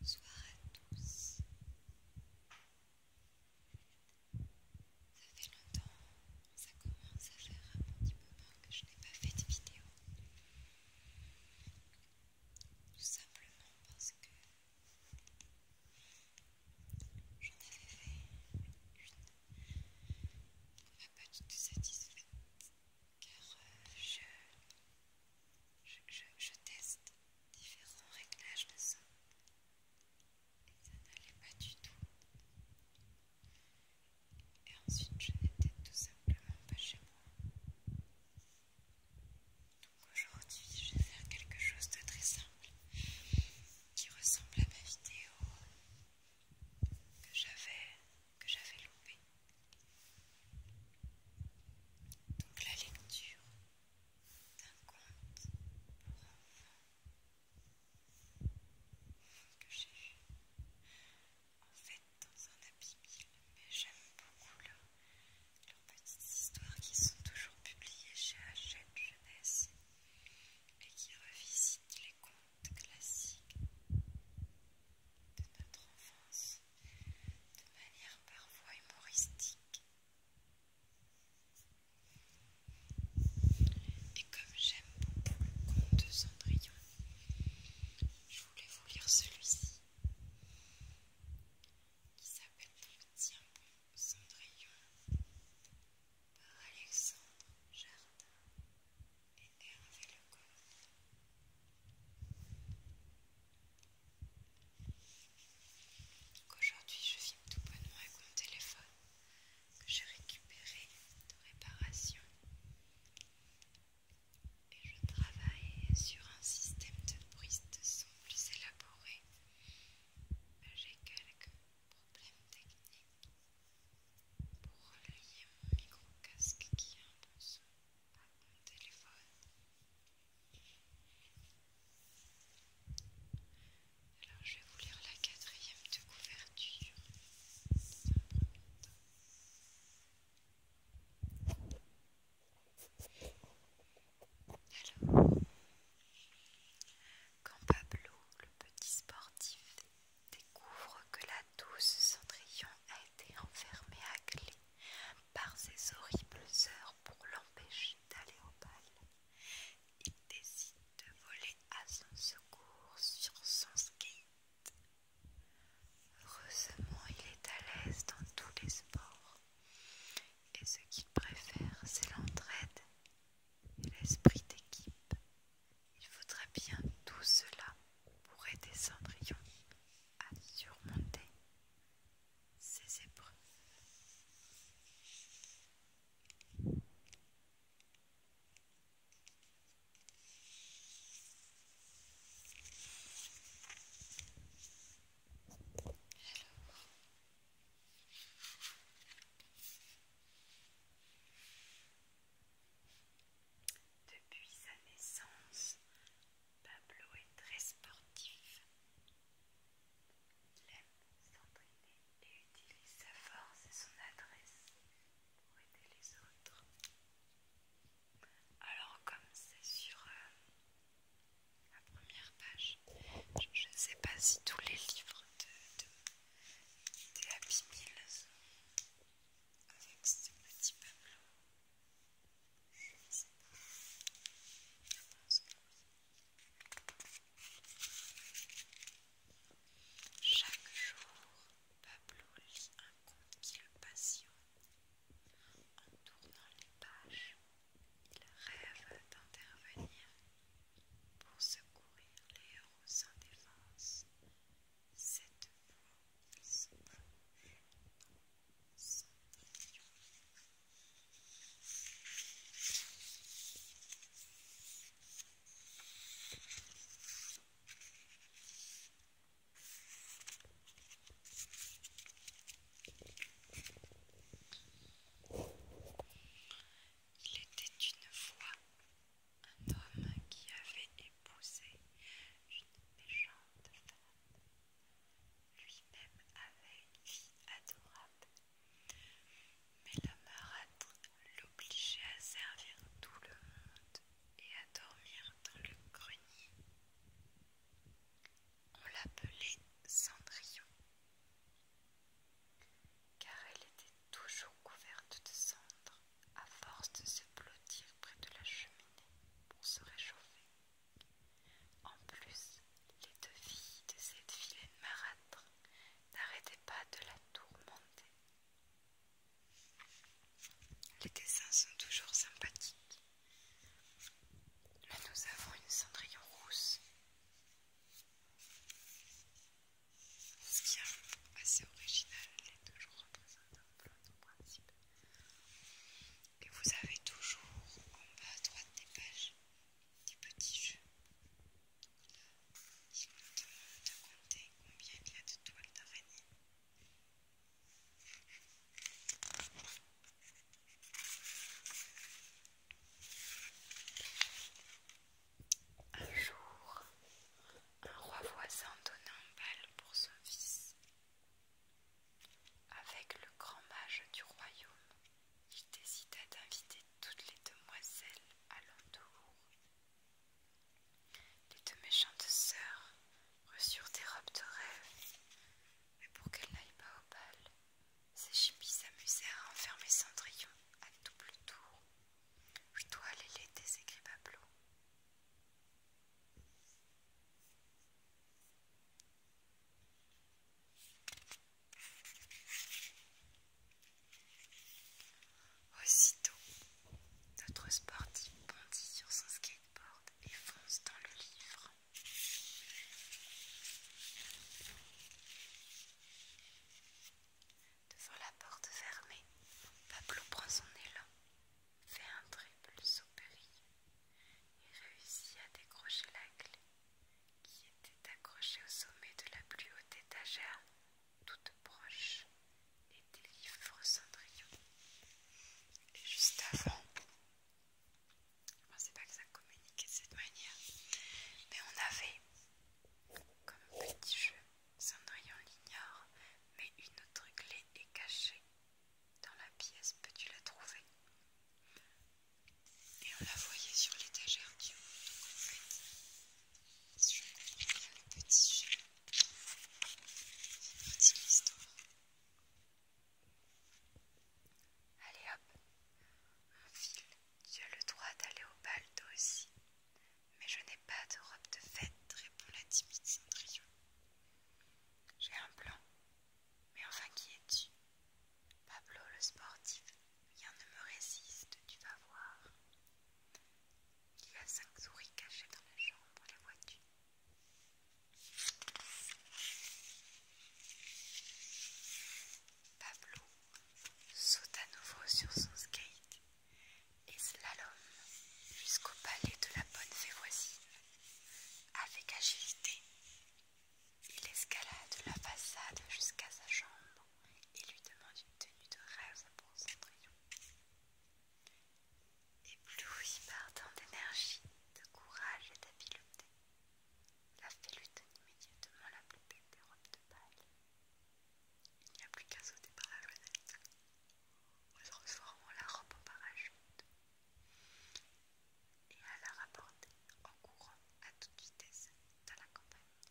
Bonsoir à tous. Ça fait longtemps, ça commence à faire un petit moment que je n'ai pas fait de vidéo. Tout simplement parce que j'en avais fait une pas du tout satisfaite car je je, teste différents réglages de son et ça n'allait pas du tout. Et ensuite, je n'étais tout simplement pas chez moi. Donc aujourd'hui, je vais faire quelque chose de très simple qui ressemble à ma vidéo que j'avais que j'avais loupé. Donc la lecture d'un conte pour enfants que j'ai vu en fait dans un abîme, mais j'aime beaucoup leurs petites histoires qui sont toujours publiées chez Hachette Jeunesse et qui revisitent les contes classiques de notre enfance de manière parfois humoristique. Et comme j'aime beaucoup le conte de Cendrillon, je voulais vous lire celui-ci qui s'appelle Tiens bon Cendrillon par Alexandre Jardin énerver le Aujourd'hui, je filme tout bonnement avec mon téléphone que j'ai récupéré de réparation et je travaille sur un système de brise de son plus élaboré. Ben, j'ai quelques problèmes techniques pour relier mon micro-casque qui a un mon téléphone. Alors je vais vous lire la quatrième de couverture Alors, quand Pablo, le petit sportif, découvre que la douce Cendrillon a été enfermée à clé par ses horribles heures pour l'empêcher d'aller au bal. Il décide de voler à son secours sur son skate. Heureusement, il est à l'aise dans tous les sports. Et ce qu'il préfère, c'est l'entraide et l'esprit d'équipe. Il faudrait bien tout cela pour aider Cendrillon à surmonter ses épreuves. Depuis sa naissance, Pablo est très sportif. Il aime s'entraîner et utilise sa force et son adresse pour aider les autres. Alors comme c'est sur euh, la première page, je ne sais pas si tous les livres de, Happy sont avec ce petit Pablo, Chaque jour, Pablo lit un conte qui le passionne. En tournant les pages, il rêve d'intervenir pour secourir les héros sans défense cette il Il était une fois un homme qui avait épousé une méchante femme. Lui-même avait une vie adorable, mais la marâtre l'obligeait à servir tout le monde et à dormir dans le grenier. On l'appelait Cendrillon car elle était toujours couverte de cendres à force de se blottir près de la cheminée pour se réchauffer. En plus, les deux filles de cette vilaine marâtre n'arrêtaient pas de la tourmenter. Les dessins sont toujours sympathiques, mais nous avons une cendrillon rousse. Ce qui est assez original, les est toujours représentent un en principe. Et vous avez toujours en bas à droite des pages des petits jeux. Donc là, il nous demande de compter combien il y a de toiles d'araignée. Un jour, un roi voisin donna un bal pour son fils. Avec le grand mage du royaume, il décida d'inviter toutes les demoiselles à l'entour. Les deux méchantes sœurs reçurent des robes de rêve, mais pour qu'elles n'aillent pas au bal, Séchimi s'amusèrent à enfermer Cendrillon à double tour. Je dois aller l'aider, s'écrit Pablo. Aussitôt, notre sportif bondit sur son skateboard et fonce dans le livre. Devant la porte fermée, Pablo prend son élan, fait un triple saut et réussit à décrocher la clé qui était accrochée au sommet de la plus haute étagère, toute proche, des livres Cendrillon. Et juste avant, je pensais pas que ça communiquait de cette manière. Mais on avait comme un petit jeu, Cendrillon l'ignore, mais une autre clé est cachée dans la pièce. Peux-tu la trouver Et on la voyait sur l'étagère du haut. petit jeu. C'est histoire Allez hop, un fil tu as le droit d'aller au bal, toi aussi. Mais je n'ai pas de robe de fête, répond la timide Cendrillon. J'ai un plan. Mais enfin, qui es-tu Pablo le sportif. Rien ne me résiste, tu vas voir. Il y a cinq souris cachées dans la chambre, les vois Pablo saute à nouveau sur son skate et slalom jusqu'au palais de la bonne fée Avec agilité, il escalade la façade jusqu'à sa chambre et lui demande une tenue de rêve pour son Ébloui par tant d'énergie, de courage et d'habileté, la fée donne immédiatement la plus des robes de balle. Il n'y a plus qu'à sauter par la fenêtre en la robe en parachute et à la rapporter en courant à toute vitesse dans la campagne.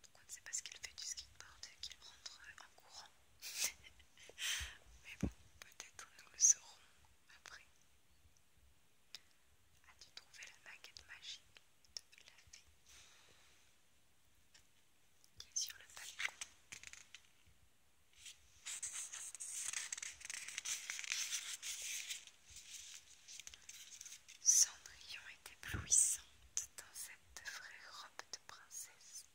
Donc on ne sait pas ce qu'il fait du skateboard qu'il rentre en courant. Mais bon, peut-être nous le saurons après. As-tu trouvé la maquette magique de la fée qui est sur le palais Cendrillon est éblouissante dans cette vraie robe de princesse.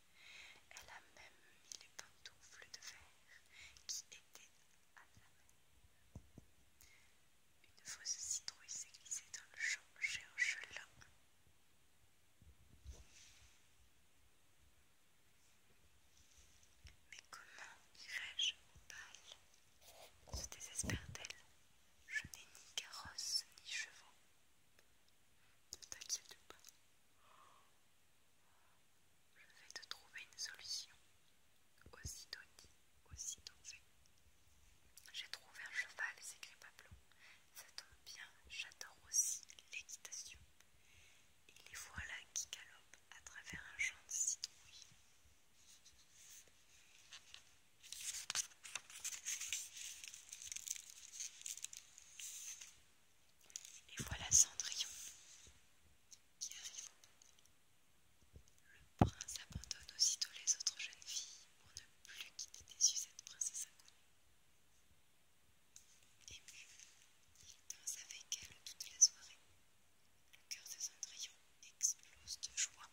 Elle a même mis les pantoufles de verre qui une fausse citrouille s'est glissée dans le champ un Ochelin. Mais comment dirais je au bal Je désespère d'elle. Je n'ai ni carrosse ni chevaux. Ne t'inquiète pas. Je vais te trouver une solution. aussi dit, aussi fait. J'ai trouvé un cheval, s'écrit Pablo. Ça tombe bien, j'adore aussi l'équitation. Et les voilà qui galopent à travers un champ de citrouilles. Et voilà Cendrillon qui arrive. Le prince abandonne aussitôt les autres jeunes filles pour ne plus quitter des cette princesse inconnue. Ému, il danse avec elle toute la soirée. Le cœur de Cendrillon explose de joie.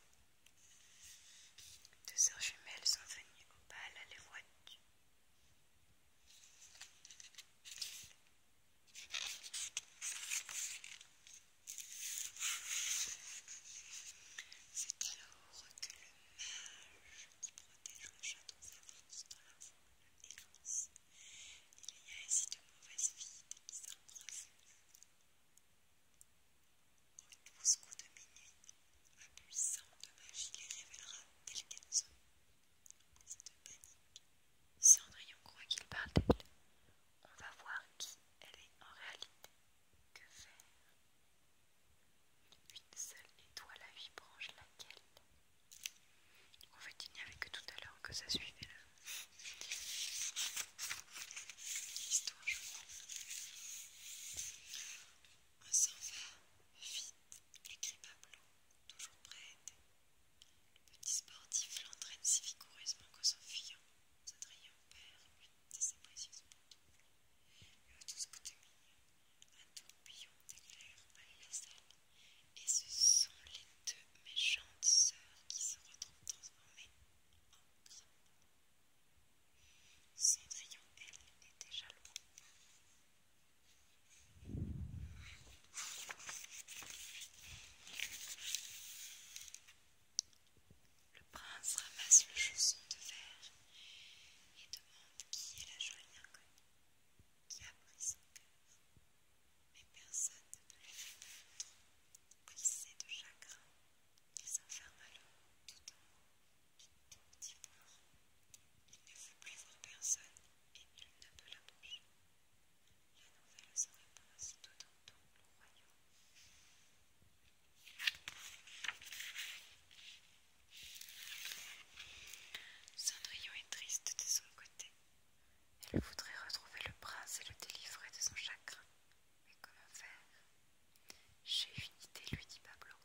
Deux sœurs jumelles sont venues au bal à les voir c'est alors que le mage qui protège le château s'avance dans la foule et lance Il y a ici de mauvaises filles qui s'embrassent. Au douze coups de minuit, un puissant de magie les révélera tels qu'elles sont. Si André croit qu'il parle d'elle. On va voir qui elle est en réalité. Que faire Une seule étoile la vie branche laquelle En fait, il n'y avait que tout à l'heure que ça suivait là. On s'en va, vite, écrit Pablo, toujours prêt Le petit sportif l'entraîne si vigoureusement qu'en s'enfuyant, son rayon perd de ses précieuses tout. Le demi, un tourbillon d'éclair à la salle, et ce sont les deux méchantes sœurs qui se retrouvent transformées en crabes. Cendrillon, elle, est déjà loin. Le prince ramasse le chausson de verre et demande qui est la jolie inconnue qui a pris son cœur. Mais personne ne le lui trop glissé de chagrin, il s'enferme alors tout en haut ton petit Il ne veut plus voir personne et nul ne peut l'approcher. La nouvelle se répand aussitôt dans tout le royaume. Cendrillon est triste de son côté. Elle voudrait retrouver le prince et le délivrer de son chagrin. Mais comment faire j'ai une idée, lui dit Pablo.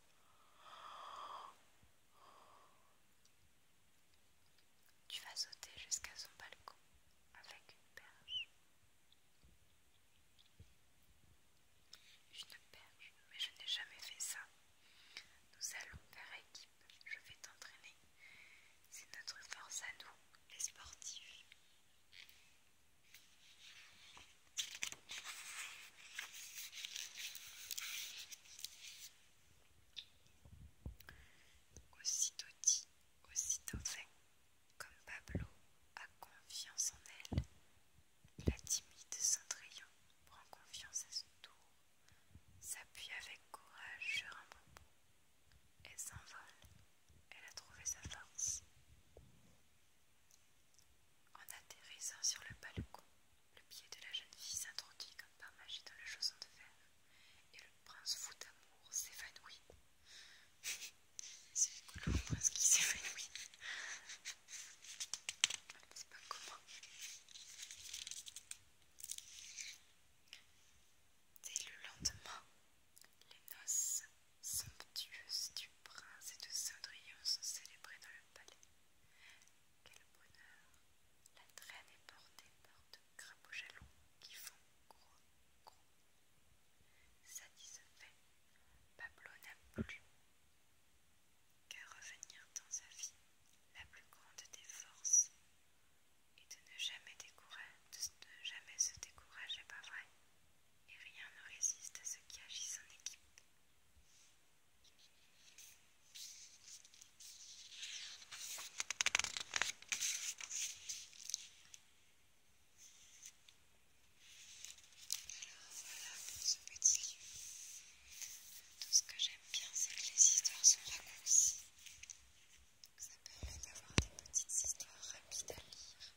Tu vas sauter jusqu'à son balcon avec une perche. Une perche, mais je n'ai jamais fait ça. Nous allons faire équipe, je vais t'entraîner. C'est notre force à nous, les sportifs. Aussitôt dit, aussitôt fait, comme Pablo a confiance en elle, la timide Cendrillon prend confiance à son tour, s'appuie avec courage sur un bonbon elle s'envole, elle a trouvé sa force. En atterrissant sur le balcon, le pied de la jeune fille s'introduit comme par magie dans le chausson de fer, et le prince fou d'amour s'évanouit. C'est le prince qui s'évanouit. Je ne pas comment. Dès le lendemain, les noces somptueuse du prince et de Cendrillon sont célébrées dans le palais. Quel bonheur La traîne est portée par de crapauds jaloux qui font gros, gros. Satisfait, Pablo n'a plus qu'à revenir dans sa vie, la plus grande des forces, et de ne jamais, de ne jamais se décourager, pas vrai et rien ne résiste à ce qui agit en équipe. Alors voilà pour ce petit livre. Tout ce que j'aime bien, c'est que les histoires sont raccourcies. ça permet d'avoir des petites histoires rapides à lire.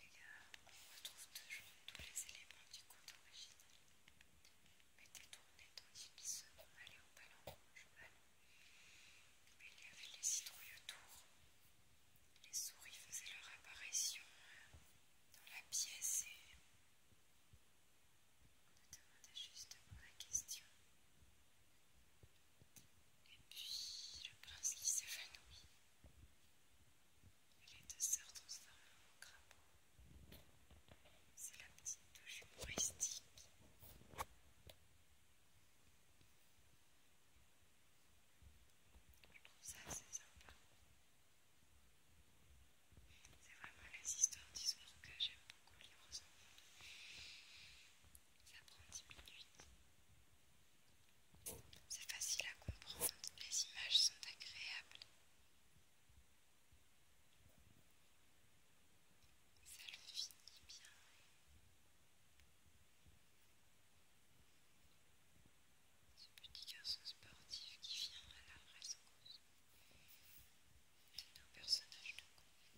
Et là, on retrouve toujours tous les éléments du conte original, mais détournés tandis qu'ils se allaient au palais rouge. Mais il y avait les citrouilles autour. Les souris faisaient leur apparition dans la pièce et on me demandait justement la question et puis le prince qui s'évanouit. Les deux sœurs transformées en crapaud. C'est la petite touche humoristique. Je trouve ça assez sympa. C'est vraiment les histoires d'histoire que j'aime beaucoup lire aux enfants. Ça prend 10 minutes. C'est facile à comprendre, les images sont agréables. Ça le finit bien. Ce petit garçon sportif qui vient à la rescousse de nos personnages de compte.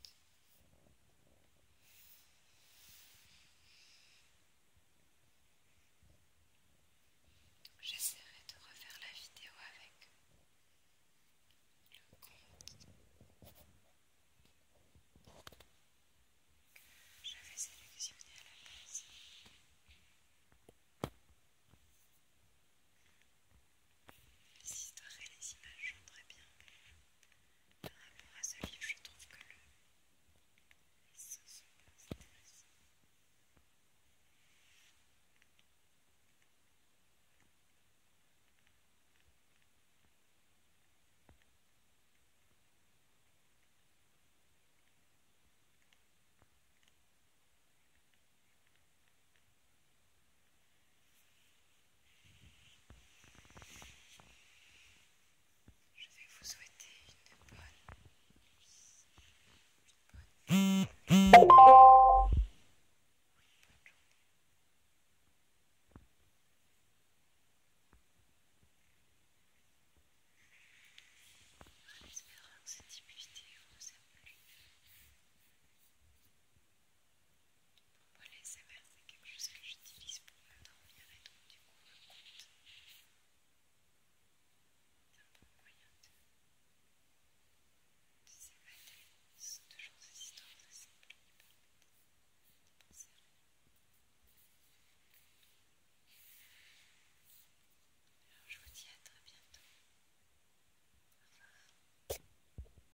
J'essaierai de refaire la vidéo avec le compte que j'avais sélectionné à la place. Les histoires et les images sont très bien. Par rapport à ce livre, je trouve que le... Je vais vous souhaiter une bonne, une bonne, En espérant que cette vidéo vous a plu. Moi, les SMR, c'est quelque chose que j'utilise pour m'endormir euh, et donc, du coup, le compte, c'est un bon moyen de, de s'évader. Ce sont toujours ces histoires de simples qui permettent de penser à rien. Alors, je vous dis à très bientôt. Au revoir.